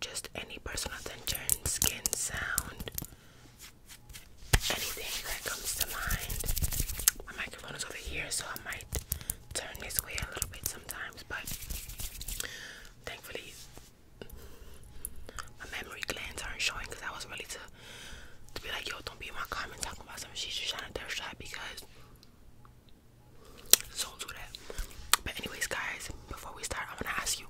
just any personal attention, skin sound, anything that comes to mind. My microphone is over here, so I might turn this way a little bit sometimes, but thankfully my memory glands aren't showing because I was ready to to be like, yo, don't be my comment talking about something she's just are trying to thirst shot because so do that. But anyways guys, before we start, I wanna ask you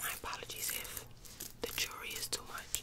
My apologies if the jury is too much.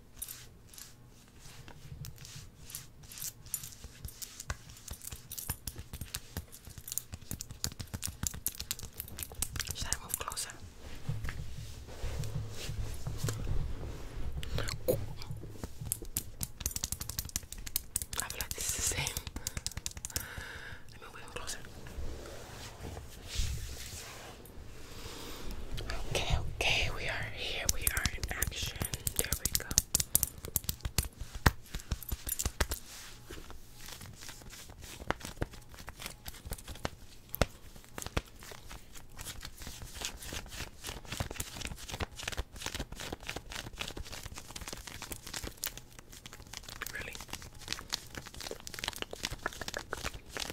Should I move closer? Oh. I feel like this is the same. Let me move closer. Okay, okay, we are here. We are in action. There we go. Really?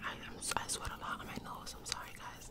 I, i sweat a lot on my nose. I'm sorry, guys.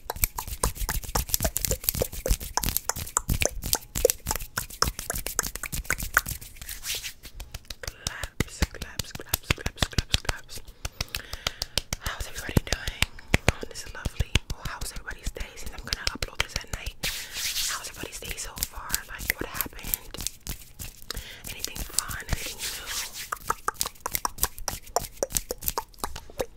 Claps, claps, claps, claps, claps, claps. How's everybody doing on this lovely? Well, how's everybody's day? Since I'm gonna upload this at night, how's everybody's day so far? Like, what happened? Anything fun? Anything new?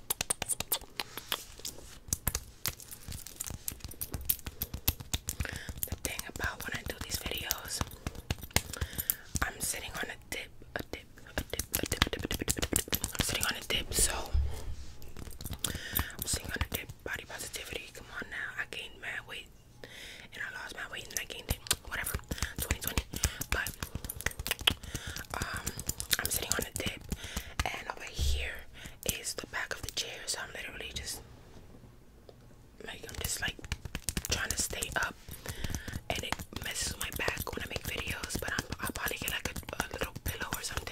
The thing about when I do these videos, I'm sitting on a dip, a dip, a dip, a dip, a dip, a dip, a dip, a dip. I'm sitting on a dip, so I'm sitting on a dip. Body positivity, come on now. I gained mad weight and I lost my weight and I gained it. Whatever, 2020. But um, I'm sitting on a dip, and over here is the back of the chair, so I'm literally just like I'm just like trying to stay up, and it messes with my back when I make videos. But I'm, I'll probably get like a little pillow or something.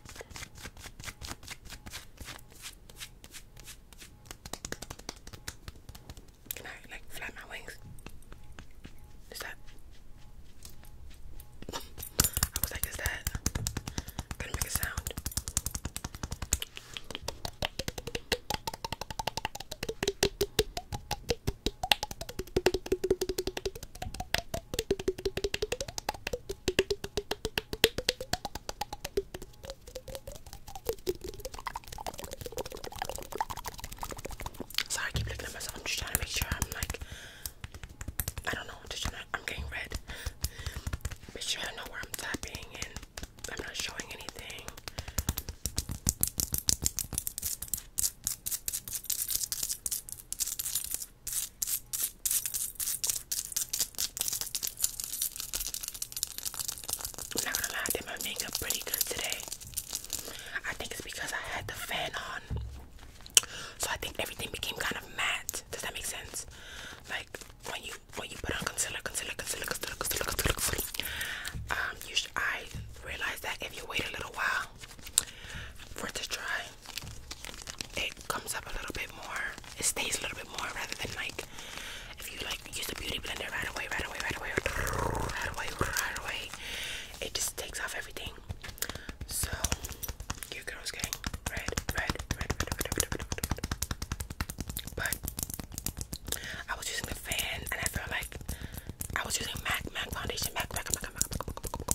Can I like flap my wings? Is that? I was like, is that? Gonna make a sound. Sorry, I keep looking at myself. I'm just trying to make sure I'm like, I don't know, just trying to, I'm getting red. Make sure I know where I'm tapping and I'm not showing anything. I'm not gonna lie, my makeup pretty good today. I think it's because I had the fan on. So I think everything became kind of matte. Does that make sense? Like when you when you put on concealer, concealer, concealer, concealer, concealer, concealer, concealer um, you should, I realized that if you wait a little while for it to dry, it comes up a little bit more. It stays a little bit more rather than like if you like use the beauty blender right away, right away, right away, right away, right away. It just takes off everything. So your girl's getting red, red, red, red, red, red, red, red, red. But I was using the fan and I felt like I was using MAC MAC foundation, MAC MAC MAC MAC MAC MAC MAC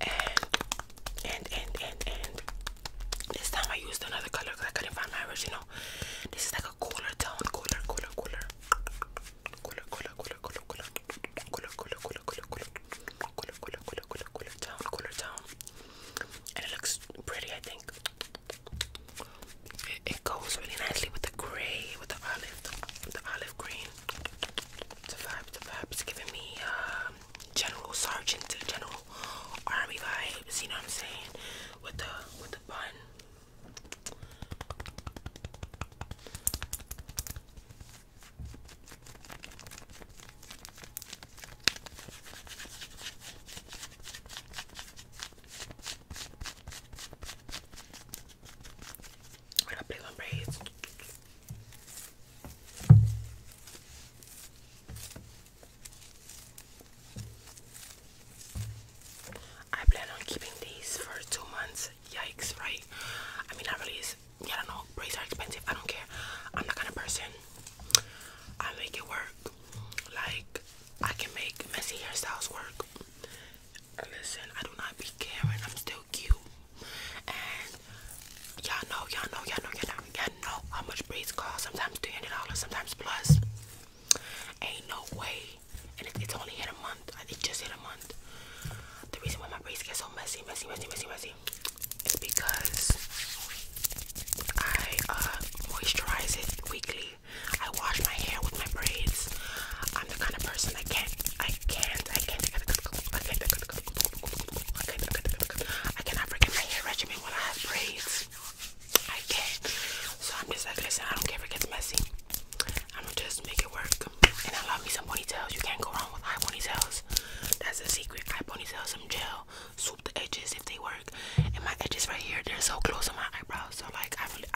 And and and and and this time I used another color because I couldn't find my original. This is like a cooler tone, cooler, cooler, cooler, cooler, cooler, cooler, cooler, cooler, cooler, cooler, cooler, cooler, cooler, cooler, tone, and it looks pretty. I think it goes really nicely with the gray, with the olive, the olive green. The vibe, the vibe is giving me um, General Sergeant, General Army vibes. You know what I'm saying? With the with the bun. I gotta on braids. I plan on keeping these for two months. Yikes, right? I mean, I really is. I don't know. Braids are expensive. I don't care. I'm the kind of person. I make it work. Like I can make messy hairstyles work. Listen, I do not be caring. I'm still cute. And y'all know, y'all know, y'all know, y'all know, y'all know how much braids cost. Sometimes $300, sometimes plus. Ain't no way. And it's only hit a month. It just hit a month. The reason why my braids get so messy, messy, messy, messy, messy is because I uh, moisturize it weekly. I wash my hair with my braids. I'm the kind of person that can't I can't, I can't, I can't, I can't, I can't, I can't, I cannot forget my hair regimen when I have braids. I can't. So I'm just like, listen, I don't care if it gets messy. I'm gonna just make it work. And I love me some ponytails. You can't go wrong with high ponytails. That's the secret. High ponytails, some gel, swoop the edges if they work. And my edges right here, they're so close to my eyebrows. So like, I really,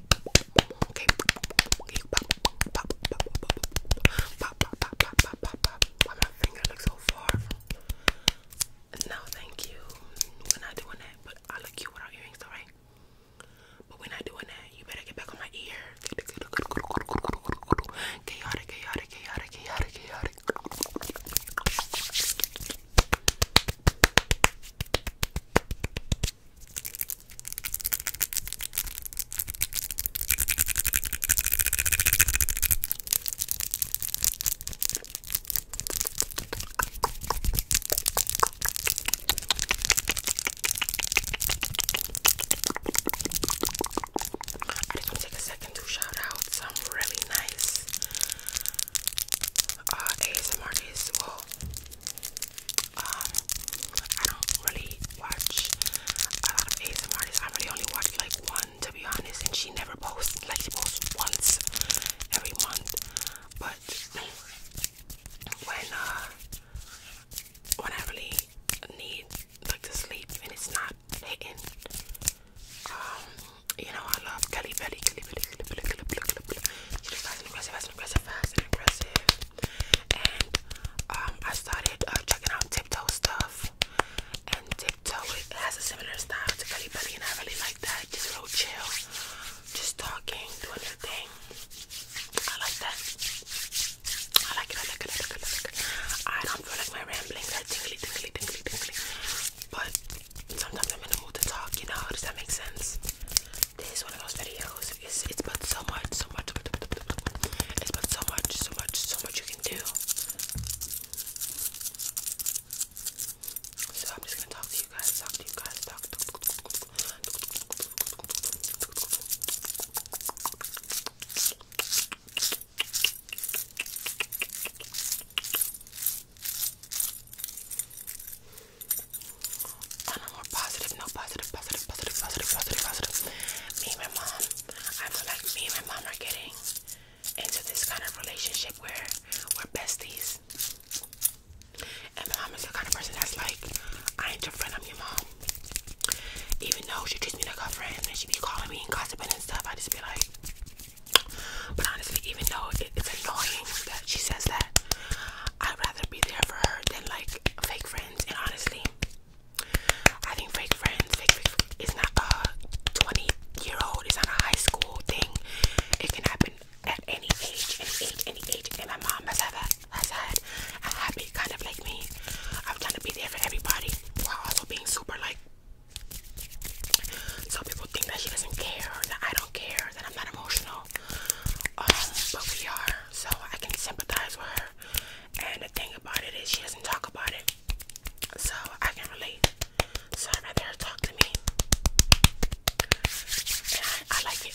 No, thank you. We're not doing that. But I look cute without earrings, alright? But we're not doing that. You better get back on my ear. I just want to take a second to shout out some really nice uh, um, I don't really watch a lot of ASMR artists. I really only watch like one, to be honest, and she never posts. Like she posts once every month, but when uh, when I really need like to sleep and it's not hitting, um, you know I love Kelly Belly. Kelly Belly. Kelly Belly. Kelly Belly. She just likes me fast fast and aggressive. And um, I started uh, checking out Tiptoe stuff. And Tiptoe has a similar style to Gully Belly, and I really like that. Just real chill, just talking, doing your thing. I like that. I like it. I like it. I like it. I like it. I don't feel like my ramblings are tingly, tingly, tingly, tingly. But sometimes I'm in the mood to talk. You know, does that make sense? this is one of those videos. It's it's but so much, so much, it's but so much, so much, so much you can do. So I'm just gonna talk to you guys, talk to you guys, talk. On a more positive, no positive, positive, positive, positive, positive, positive. Me and my mom, I am like me and my mom are getting into this kind of relationship where we're besties. And my mom is the kind of person that's like, I ain't your friend, I'm your mom. Even though she treats me like a friend and she be calling me and gossiping and stuff, I just be like, but honestly, even though it's annoying that she says that. I'd rather be there for her than like fake friends. And honestly, I think fake friends, fake, fake, is not a 20 year old, it's not a high school thing. It can happen at any age, any age, any age. And my mom has had a, has had a happy kind of like me. I'm trying to be there for everybody while also being super like. So people think that she doesn't care, that I don't care, that I'm not emotional, um, but we are, so I can sympathize with her. And the thing about it is, she doesn't talk about it, so I can relate. So I'd rather her talk to me. And I, I like it.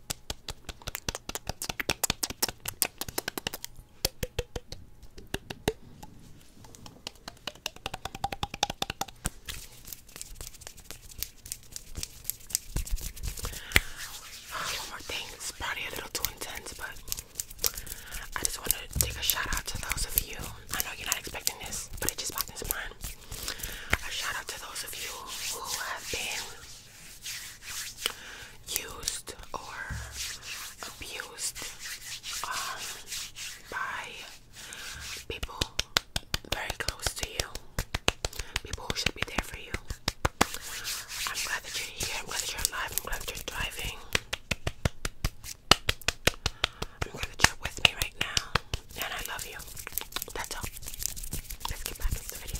One more thing, it's probably a little too intense, but I just want to take a shout out to those of you. I know you're not expecting this, but it just popped into mind. A shout out to those of you who have been used or abused um, by people very close to you, people who should be there for you. I'm glad that you're here, I'm glad that you're alive, I'm glad that you're driving. I'm glad that you're with me right now, and I love you. That's all. Let's get back into the video.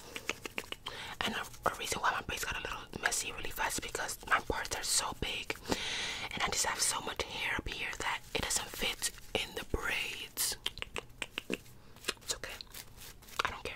And a, reason why my braids got a little messy really fast because my parts are so big and I just have so much hair up here that it doesn't fit in the braids. It's okay. I don't care.